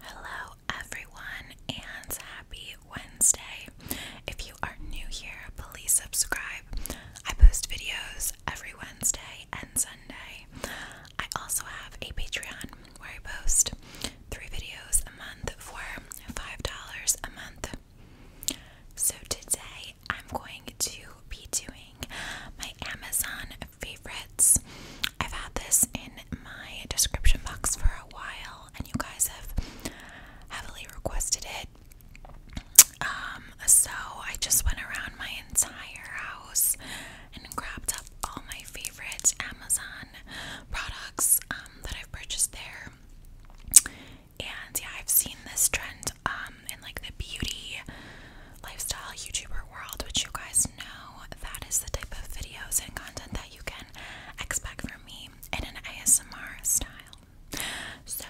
Hello, everyone, and happy Wednesday. If you are new here, please subscribe. I post videos every Wednesday and Sunday. I also have a Patreon where I post three videos a month for $5 a month. So today I'm going to be doing my Amazon favorites. I've had this in my description box for a while, and you guys have heavily requested it. Um, so I just went around my entire house and grabbed up all my favorite Amazon products um, that I've purchased there. And yeah, I've seen this trend um, in like the beauty lifestyle YouTuber world, which you guys know that is the type of videos and content that you can expect from me in an ASMR style. So,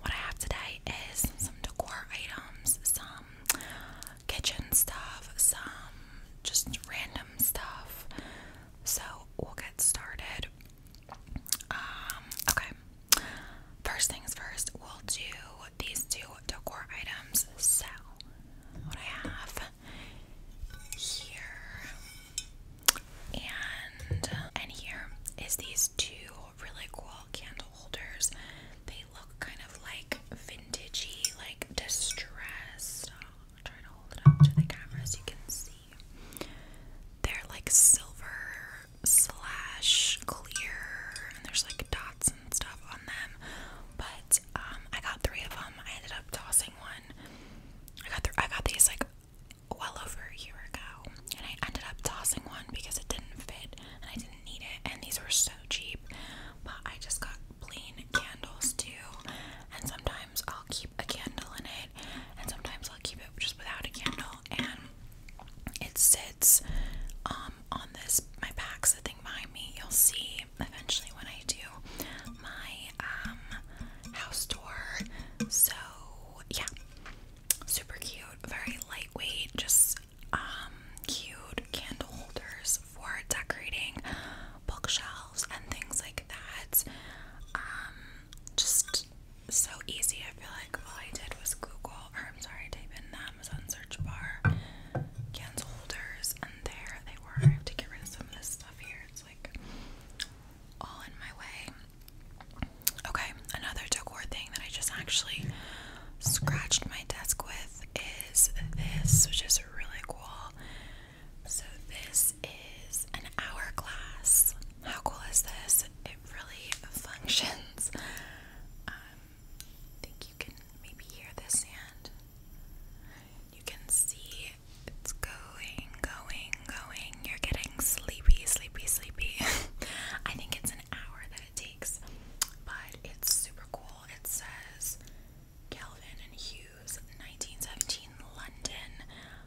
what I have today is some decor items, some kitchen stuff, some just random stuff. So, we'll get started. Um, okay. First things first, we'll do these two decor items. So, what I have here and and here is these two really cool candle holders. They look kind of like vintagey, like distressed. Oh, try to hold it up to the camera so you can see. They're like silver slash clear, and there's like dots and stuff on them. But um, I got three of them. I ended up tossing one. I got th I got these like well over a year ago, and I ended up tossing one because it didn't fit and I didn't need it. And these were so cheap, but I just got plain candles too. And sometimes I'll keep a candle in it, and sometimes I'll keep it just without a candle. And it sits um, on this. My back behind me. You'll see eventually when I do my um, house tour. So yeah, super cute, very lightweight, just um, cute candle holders for decorating bookshelves and things like that. Um, just so easy. I feel like all I did was Google, or I'm sorry, type in them Amazon search bar cans holders, and there they were. I have to get rid of some of this stuff here. It's like all in my way. Okay, another decor thing that I just actually scratched my desk with is this, which is really cool. So, this is an hourglass. How cool is this? It really functions. Um, I think you can maybe hear the sand. You can see it's going, going, going. You're getting sleepy, sleepy, sleepy. I think it's an hour that it takes, but it's super cool. It says Kelvin and Hughes, 1917, London.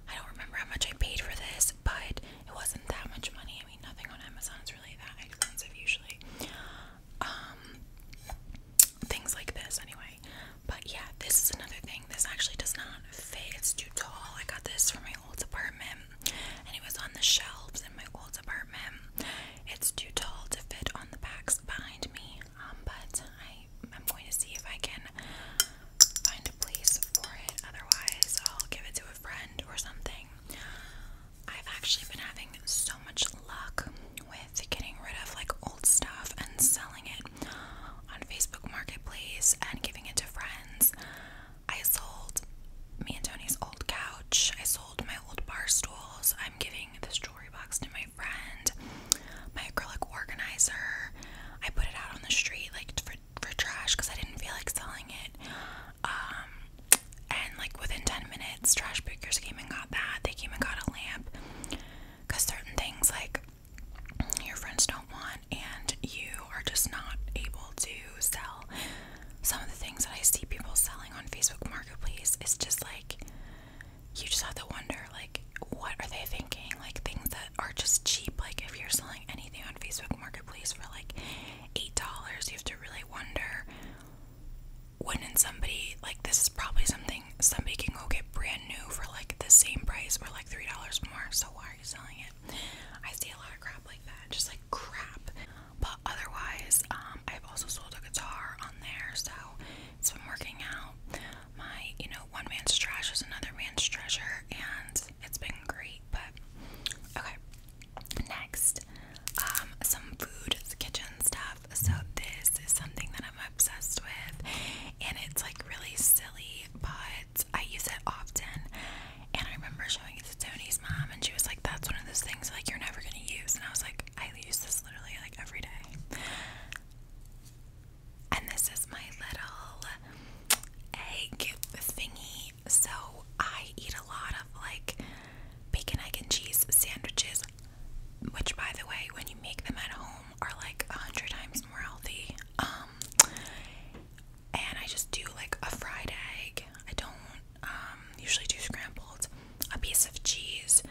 I don't remember how much I paid for this, but it wasn't that much money. I mean, nothing on Amazon is really that expensive usually um, things like this anyway. But yeah, this is another thing. This actually does not fit. It's too tall. I got this from my old apartment and it was on the shelves in my old apartment. It's too tall to fit on the backs behind me. Um, but I'm going to see if I can find a place for it. Otherwise, I'll give it to a friend or something. I've actually been having so much luck with getting rid of like old stuff and selling it on Facebook Marketplace and giving it to friends. I sold me and Tony's old couch. I sold my old bar stools. I'm giving this jewelry box to my friend. My acrylic organizer. I put it out on the street like for for trash because I didn't feel like selling it. Um, and like within 10 minutes, trash pickers came and got that. They came and got a lamp because certain things like your friends don't want, and you are just not able to sell. Some of the things that I see people selling on Facebook Marketplace It's just like you just have to wonder, like, what are they thinking? Like, things that are just cheap. Like, if you're selling anything on Facebook Marketplace for like $8, you have to really wonder wouldn't somebody like this is probably something somebody can go get brand new for like the same price or like three dollars more so why are you selling it i see a lot of crap like that just like crap but otherwise um i've also sold a guitar on there so it's been working out my you know one man's trash is another man's treasure and it's been great but okay Next, um, some food kitchen stuff. So this is something that I'm obsessed with, and it's like really silly, but I use it often. And I remember showing it to Tony's mom, and she was like, "That's one of those things like you're never gonna use." And I was like, "I use this literally like every day." And this is my little egg thingy. So I eat a lot of like bacon, egg, and cheese sandwiches, which, by the way, when you make them at home, are like a hundred times more healthy. Um, and I just do like a fried egg. I don't um, usually do scrambled. A piece of cheese,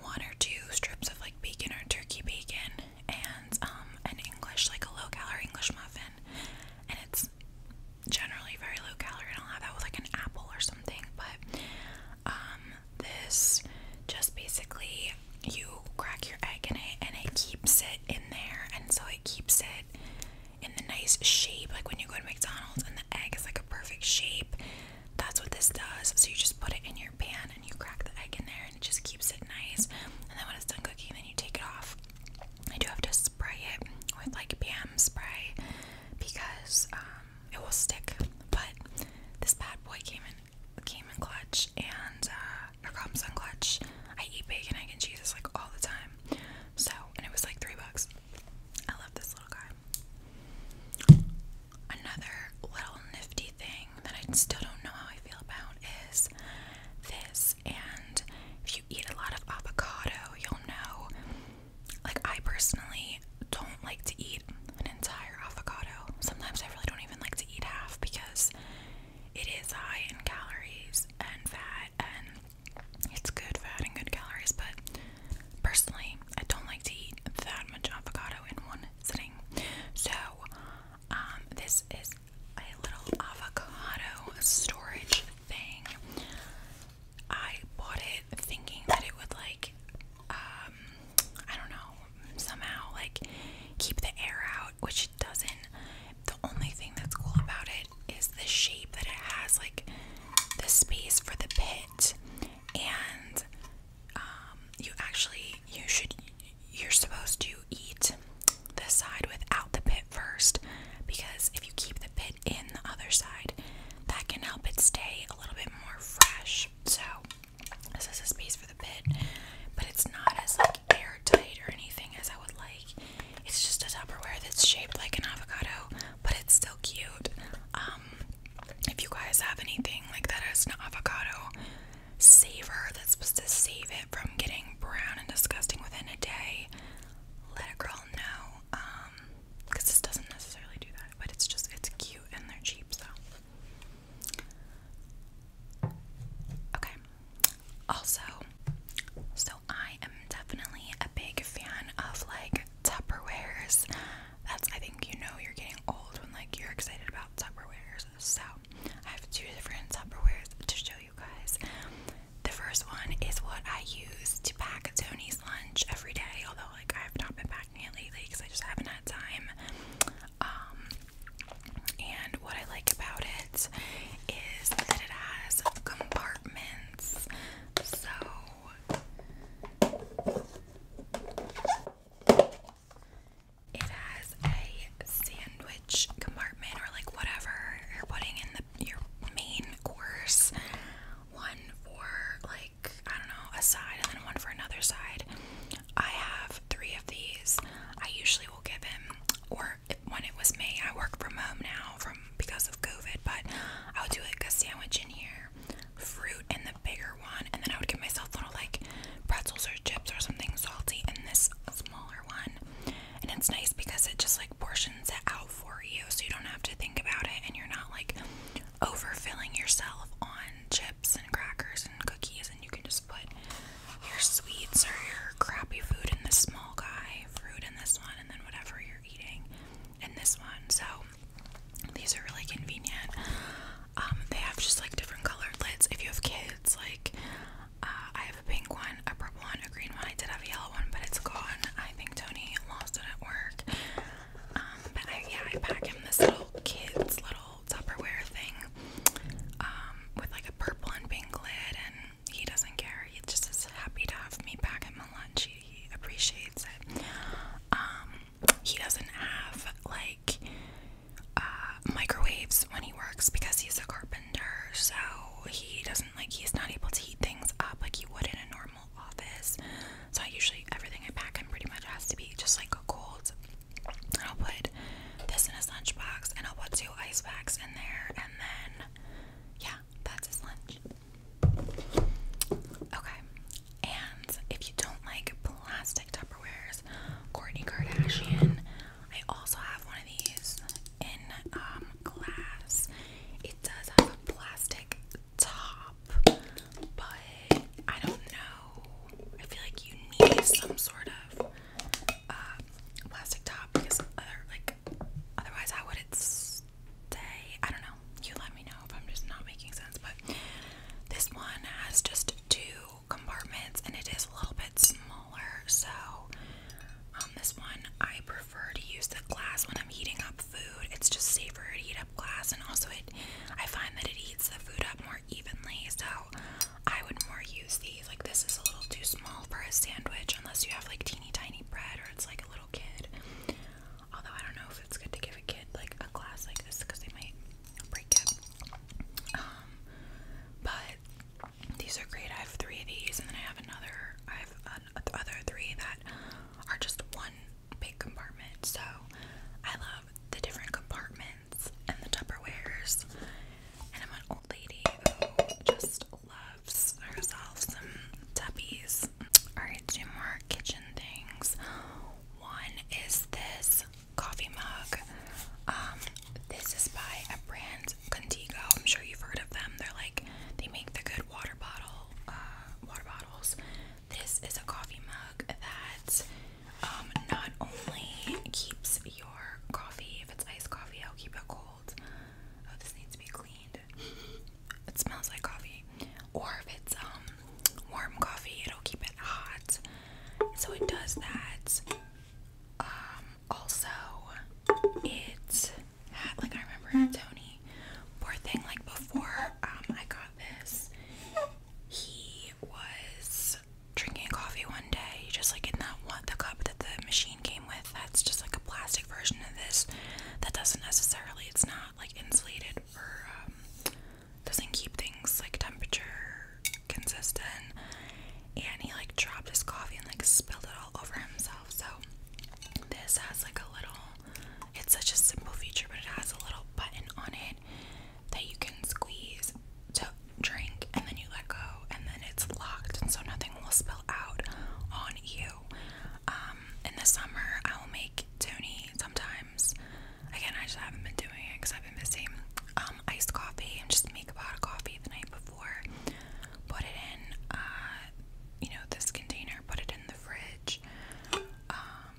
one or two strips of like bacon or turkey bacon, and um, an English like a low-calorie English muffin, and it's generally very low calorie and I'll have that with like an apple or something but um, this just basically you crack your egg in it and it keeps it in there and so it keeps it in the nice shape like when you go to McDonald's and the egg is like a perfect shape that's what this does so you just put it in your pan and you crack the egg in there and it just keeps it nice and then when it's done cooking then you take it off I do have to spray it with like BM spray because um, it will stick. But this bad boy came in came in clutch and uh, or on clutch. I eat bacon, egg, and cheese it's like all the time. So and it was like three bucks. I love this little guy. Another little nifty thing that I still don't know how I feel about is this. And if eat a lot of avocado, you'll know. Like, I personally don't like to eat an entire avocado. Sometimes I really don't even like to eat half because it is high in calories and fat, and it's good fat and good calories. But personally, I don't like to eat that much avocado in one sitting. So, um, this is a little avocado storage thing. I bought it thinking that it would like um, I don't know, somehow like keep the air out, which it doesn't. The only thing that's cool about it is the shape that it has, like the space for the pit. And um, you actually you should you're supposed to eat the side without the pit first because if you keep the pit in the other side, that can help it stay a little bit more fresh. So this is a space for the pit, but it's not as like airtight or anything as I would like. It's just a Tupperware that's shaped like an avocado, but it's still cute. Um, if you guys have anything like that as an avocado saver that's supposed to save it from getting brown and disgusting within a day, let a girl know. Um, because um, this doesn't necessarily do that, but it's just it's cute and they're cheap, so. Okay. Also, so I am definitely a big fan of like Tupperwares. That's I think you know you're getting old when like you're excited about Tupperwares. So I have two different Tupperwares to show you guys. The first one is what I use to pack Tony's lunch every day, although like I have not been packing it lately because I just haven't had time. Um, and what I like about it is that it has compartments. So it has a sandwich compartment or like whatever you're putting in the your main course, one for like I don't know a side, and then one for another side. I have three of these. I usually will give him, or when it was me, I work from home now from because of COVID, but I'll do like a sandwich in here, fruit in the bigger one, and then I would give myself little like pretzels or chips or something salty in this smaller one and it's nice because it just like portions it out for you so you don't have to think about it and you're not like overfilling yourself on chips and crackers and cookies and you can just put your sweets or your crappy food in this small guy fruit in this one and then whatever you're eating in this one so these are really convenient um, they have just like different colored lids if you have kids like uh, I a pink one, a purple one, a green one. I did have a yellow one, but it's gone. I think Tony lost it at work. Um, but I, yeah, I pack him this little kids little Tupperware thing um, with like a purple and pink lid, and he doesn't care. He's just as happy to have me pack him a lunch. He, appreciates it. Um, he doesn't have like uh, microwaves when he works because he's a carpenter, so he doesn't doesn't like he's not able to heat things up like he would in a normal office. So I usually everything I pack in pretty much has to be just like a cold. And I'll put this in his lunchbox and I'll put two ice packs in there and then yeah, that's his lunch. Okay. And if you don't like plastic Tupperwares, Courtney Kardashian, I also have one of these in um, glass. It does have a plastic top, but I don't know. I feel like you need some sort of uh, plastic top because otherwise, how would it stay? I don't know. You let me know if I'm just not making sense. But this one has just two compartments, and it is a little bit smaller, so um, this one I prefer to use the glass when I'm heating up food. It's just safer to heat up glass, and also it I find that it heats the food up more evenly. So I would more use these. Like this is a little too small for a sandwich, unless you have like teeny tiny bread or it's like a little kid. Although I don't know if it's good to give a kid like a glass like this because they might break it. Um, but these are great. I have three of these, and then I have another. I have an, other three that are just one big compartment. So I love the different compartments and the Tupperwares. And I'm an old lady who just loves herself some tuppies. Alright, two more kitchen things. One is this coffee mug. Um, this is by a brand Contigo. I'm sure you've heard of them. They're like they make the good water bottle uh, water bottles. This is a coffee mug that um, not only keeps your coffee if it's iced coffee, I'll keep it cold. Oh, this needs to be cleaned. It smells like coffee. Or if it's um, warm coffee, it'll keep it hot. So it does that. Um, also, it had like I remember Tony, poor thing, like before um I got this, he was drinking coffee one day, He just like in that one the cup that the machine came with. That's just like a plastic version of this that doesn't necessarily it's not like insulated or um, doesn't keep things like temperature consistent and he like dropped his coffee and like spilled it all over himself so this has like a little it's such a simple feature, but it has a little button on it that you can squeeze to drink and then you let go and then it's locked and so nothing will spill out on you. Um, in the summer I will make Tony sometimes. Again, I just haven't been doing it because I've been busy. Um, iced coffee and just make a pot of coffee the night before put it in, uh, you know, this container, put it in the fridge. Um,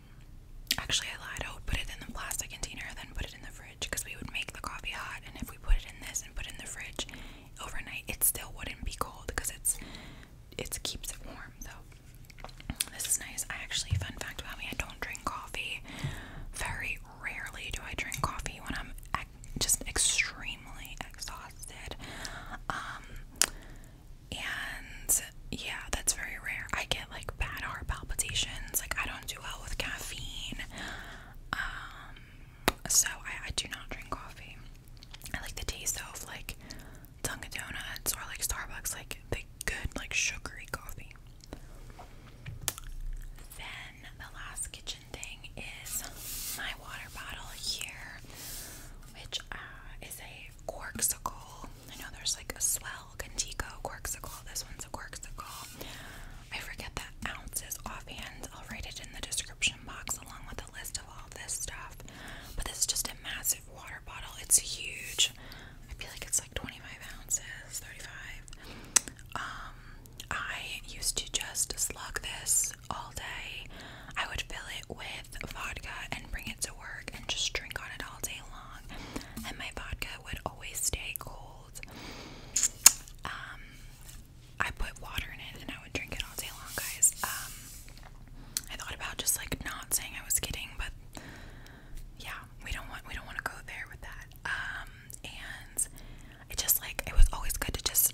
actually, I lied. I would put it in the plastic container, then put it in the fridge because we would make the coffee hot. And if we put it in this and put it in the fridge overnight, it still wouldn't be cold because it's it keeps it warm So This is nice. I actually, fun fact about me, I don't drink coffee. Very rarely do I drink coffee when I'm. I just extremely exhausted. Um, and yeah, that's very rare. I get like bad heart palpitations. Like I don't do well with caffeine. Um, so I, I do not drink coffee. I like the taste of like Dunkin' Donuts or like Starbucks, like the good like sugary coffee the last kitchen thing is my water bottle here, which uh, is a Corksicle. I know there's like a Swell Contigo Corksicle. This one's a Corksicle. I forget the ounces offhand. I'll write it in the description box along with a list of all this stuff. But this is just a massive water bottle. It's huge. I feel like it's like 25 ounces, 35. Um, I used to just slug this all day. I would fill it with vodka and bring it to work and just drink on it all day long. And my vodka would always stay cold. Um, I put water in it and I would drink it all day long, guys. Um, I thought about just like not saying I was kidding, but yeah, we don't want we don't want to go there with that. Um, and it just like it was always good to just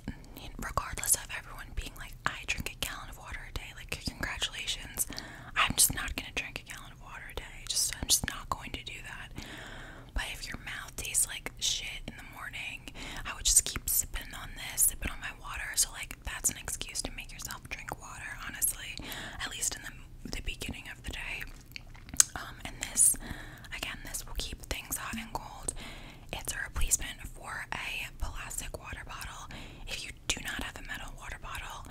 regardless of everyone being like I drink a gallon of water a day like congratulations I'm just not gonna drink a gallon of water a day just I'm just not going to do that but if your mouth tastes like shit in the morning I would just keep sipping on this sipping on my water so like that's an excuse to make yourself drink water honestly at least in the, the beginning of the day um, and this again this will keep things hot and cold it's a replacement for a plastic water bottle. If you do not have a metal water bottle,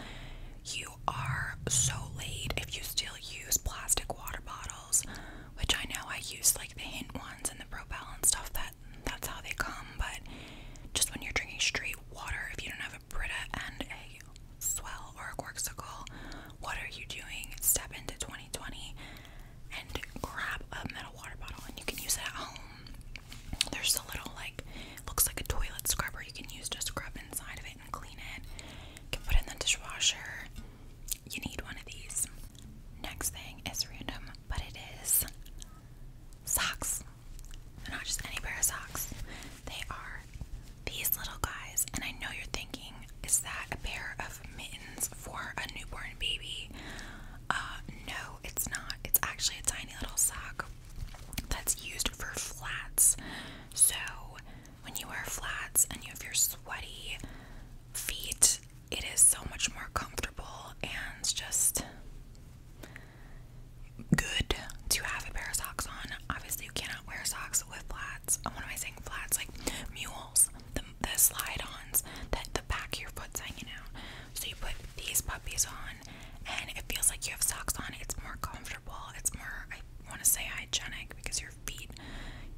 you are so late if you still use plastic water bottles, which I know I use like the Hint ones and the Pro Balance stuff that that's how they come, but just when you're drinking straight water, if you don't have a Brita and a Swell or a Corksicle, what are you doing? Step into 2020 and grab a metal water bottle and you can use it at home. There's a little like looks like a toilet scrubber you can use to scrub inside of it and clean it. You can put in the dishwasher. You need one of these. Next thing is random, but it is socks. not just any pair of socks. They are these little guys, and I know you're thinking is that a pair of mittens for a newborn baby? Uh, no, it's not. It's actually a tiny little sock that's used for flats. So when you wear flats and you have your sweaty feet, it is so much more comfortable and just good to have a pair of socks on. Obviously, you cannot wear socks with flats. What am I saying? Flats like mules the, the slide-ons that the back of your foot's hanging out. So you put these puppies on, and it feels like you have socks on. It's more comfortable. It's more, I want to say, hygienic because your feet,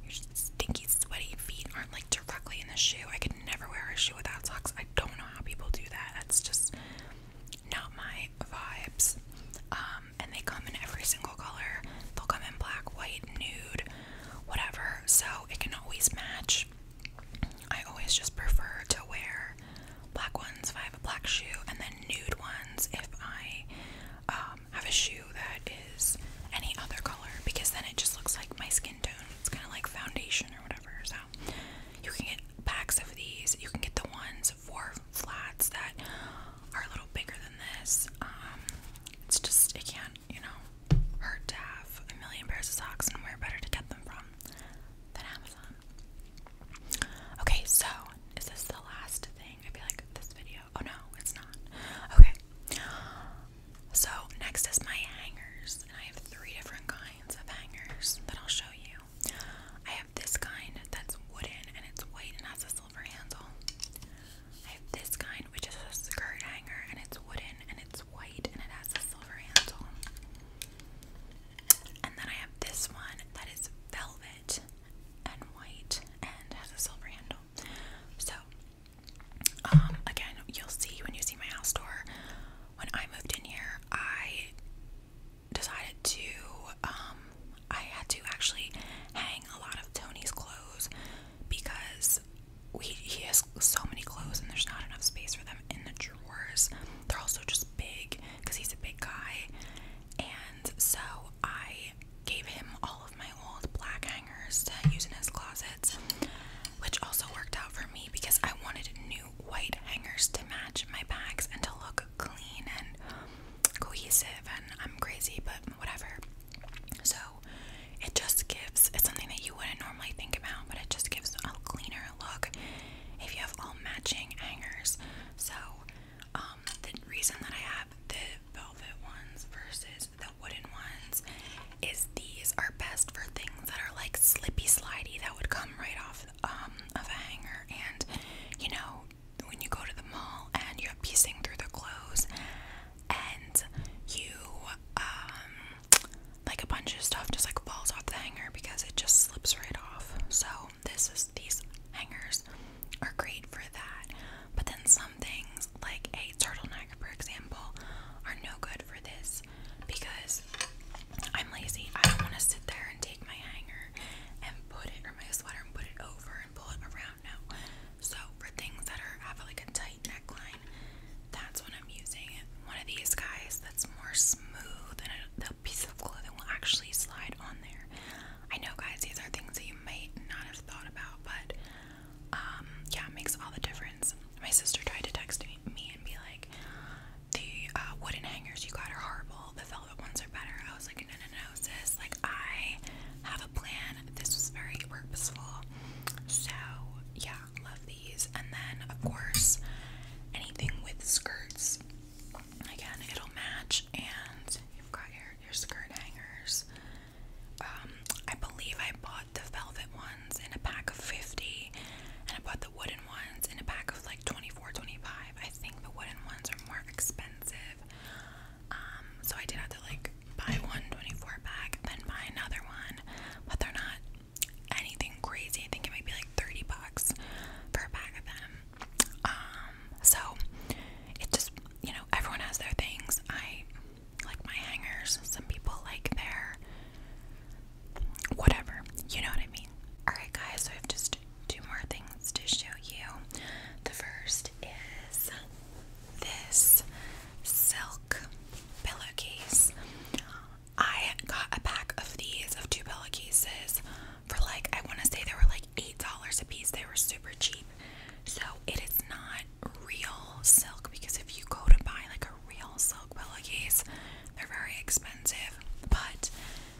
your stinky, sweaty feet aren't like directly in the shoe. I could never wear a shoe without socks. I don't know how people do that. That's just not my vibes. Um, and they come in every single color. They'll come in black, white, nude, whatever, so it can always match. I always just prefer to wear black ones if I have a black shoe, and then nude ones if I um, have a shoe that is any other color because then it just looks like my skin tone. It's kind of like foundation or whatever. So, you can get packs of these, you can get the ones for flats that are a little bigger than this. Um, it's just, it can you know, hurt to have a million pairs of socks and where better to get them from than Amazon. Okay, so is this the last thing? I feel like this video. Oh no, it's not. Okay. So next is my hangers, and I have three different kinds of hangers that I'll show you. I have this kind that's wooden and it's white and has this silver handle. I have this kind, which is a skirt hanger, and it's wooden and it's white and it has a silver handle. And then I have this one that is velvet and white and has a silver handle. So, um, again, you'll see when you see my house door. When I moved in here, I decided to, um, I had to actually hang a lot of Tony's clothes because he has so many clothes and there's not enough space for them in the drawers. They're also just big because he's a big guy. And so I gave him all of my old black hangers to use in his closets, which also worked out for me because I wanted new white hangers to match my bags and to look clean and cohesive. And I'm crazy, but whatever. So it just gives, it's something that you wouldn't normally think about, but it just gives a cleaner look if you have all matching hangers. So um, the reason that I have the velvet ones versus the wooden ones is these are best for things that are like slippy slidey that would come right off um, of a hanger and you know when you go to the mall and you're piecing through the clothes and you um like a bunch of stuff just like falls off the hanger because it just slips right off. So this is these hangers are great for that. But then some things like a turtleneck for example are no good for this because I'm lazy. I don't want to sit there and take my hanger and put it or my sweater and put it over and pull it around so for things that are have like a tight neckline, that's when I'm using one of these guys that's more smooth and the piece of clothing will actually slide on there. I know guys, these are things that you might not have thought about, but um, yeah, it makes all the difference. My sister tried to text me, and be like, the uh, wooden hangers you got are horrible, the velvet ones are better. I was like, no, no, no, like, I have a plan. This was very purposeful. So, yeah, love these. And then, of course, anything with skirts. Again, it'll match. And you've got your, your skirt hangers. Um, I believe I bought the velvet ones in a pack of 50. And I bought the wooden ones in a pack of like 24, 25. I think the wooden ones are more expensive. Um, so I did have to like buy one 24 then buy another one, but they're not anything crazy. I think it might be like 30 bucks for a pack of them. Um, so it just, you know, everyone has their things. I like my hangers, some people like their whatever, you know what I mean? Alright, guys, so I have just two more things to show you. The first is this silk pillowcase. I got a pack of these of two pillowcases for like I want to say they were like eight dollars a piece. They were super cheap. So it is not real silk because if you go to buy like a real silk pillowcase, they're very expensive. But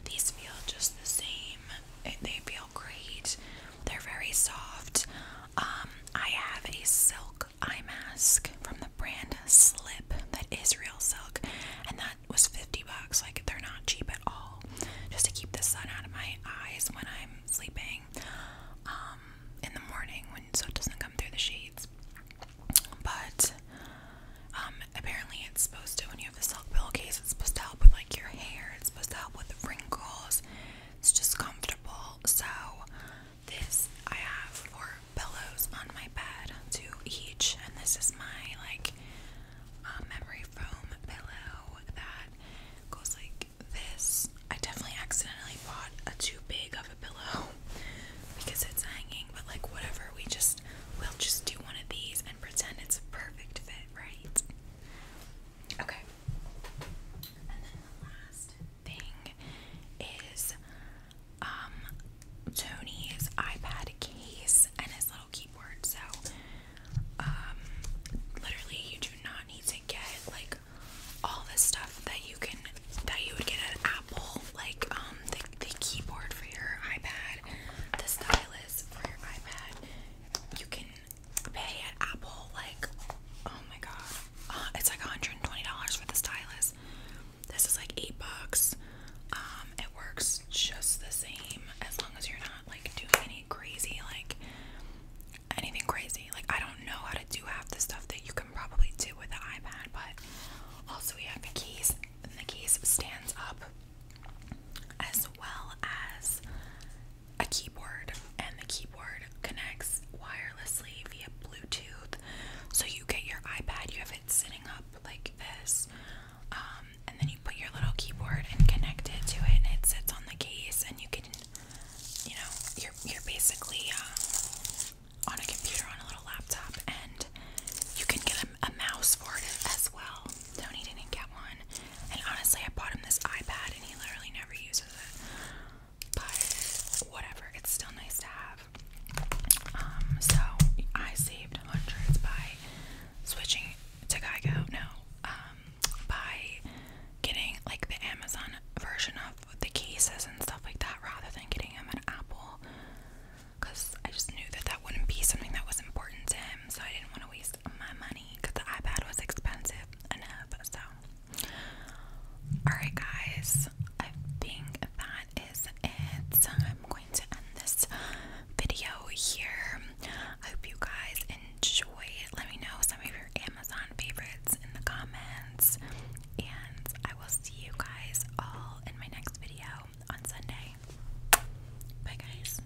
these feel just the same. They feel great. They're very soft. Um, I have a silk eye mask from the brand Slip that is real silk, and that was 50 bucks. Like, they're not cheap at all. Just to keep the sun out of my eyes when I'm sleeping um, in the morning, when so it doesn't come through the shades. But um, apparently, it's supposed to, when you have a silk pillowcase, it's supposed to help with like your hair, it's supposed to help with wrinkles, it's just comfortable. So this I have four pillows on my bed, two each, and this is my like uh, memory foam pillow that goes like this. I definitely accidentally bought a too big of a pillow because it's hanging, but like whatever, we just we'll just do one of these and pretend it's a perfect fit, right? Okay. And then the last thing is um, Tony's iPad case and his little keyboard. So um, literally you do not need to get like all the stuff that you can that you would get at Apple, like um the, the keyboard for your iPad, the stylus for your iPad. You can pay at Apple like oh my god. Uh, it's like $120 for the stylus. This is like 8 bucks. Um, it works just the same as long as you're not like doing any crazy like anything crazy. Like I don't know how to do half the stuff that you can probably do with an iPad, but also we have the keys and the keys stands up as well as a keyboard, and the keyboard connects wirelessly via Bluetooth. So you get your iPad, you have it sitting up like this, um, and then you put your little keyboard and connect it to it, and it sits on the case, and you can, you know, you're you're basically um, on a computer on a little laptop, and you can get a, a mouse for it as well. Tony didn't get one. And honestly, I bought him this iPad and he literally never uses it. But whatever, it's still nice to have. Um, so I saved hundreds by switching to Geico. No, um, by getting like the Amazon version of the cases and stuff like that rather than getting him an Apple because I just knew that that wouldn't be something that was important to him, so I didn't want to waste my money because the iPad was expensive enough. So, alright, guys, I think that is it. I'm going to end this video here. I hope you guys enjoy it. Let me know some of your Amazon favorites in the comments, and I will see you guys all in my next video on Sunday. Bye, guys.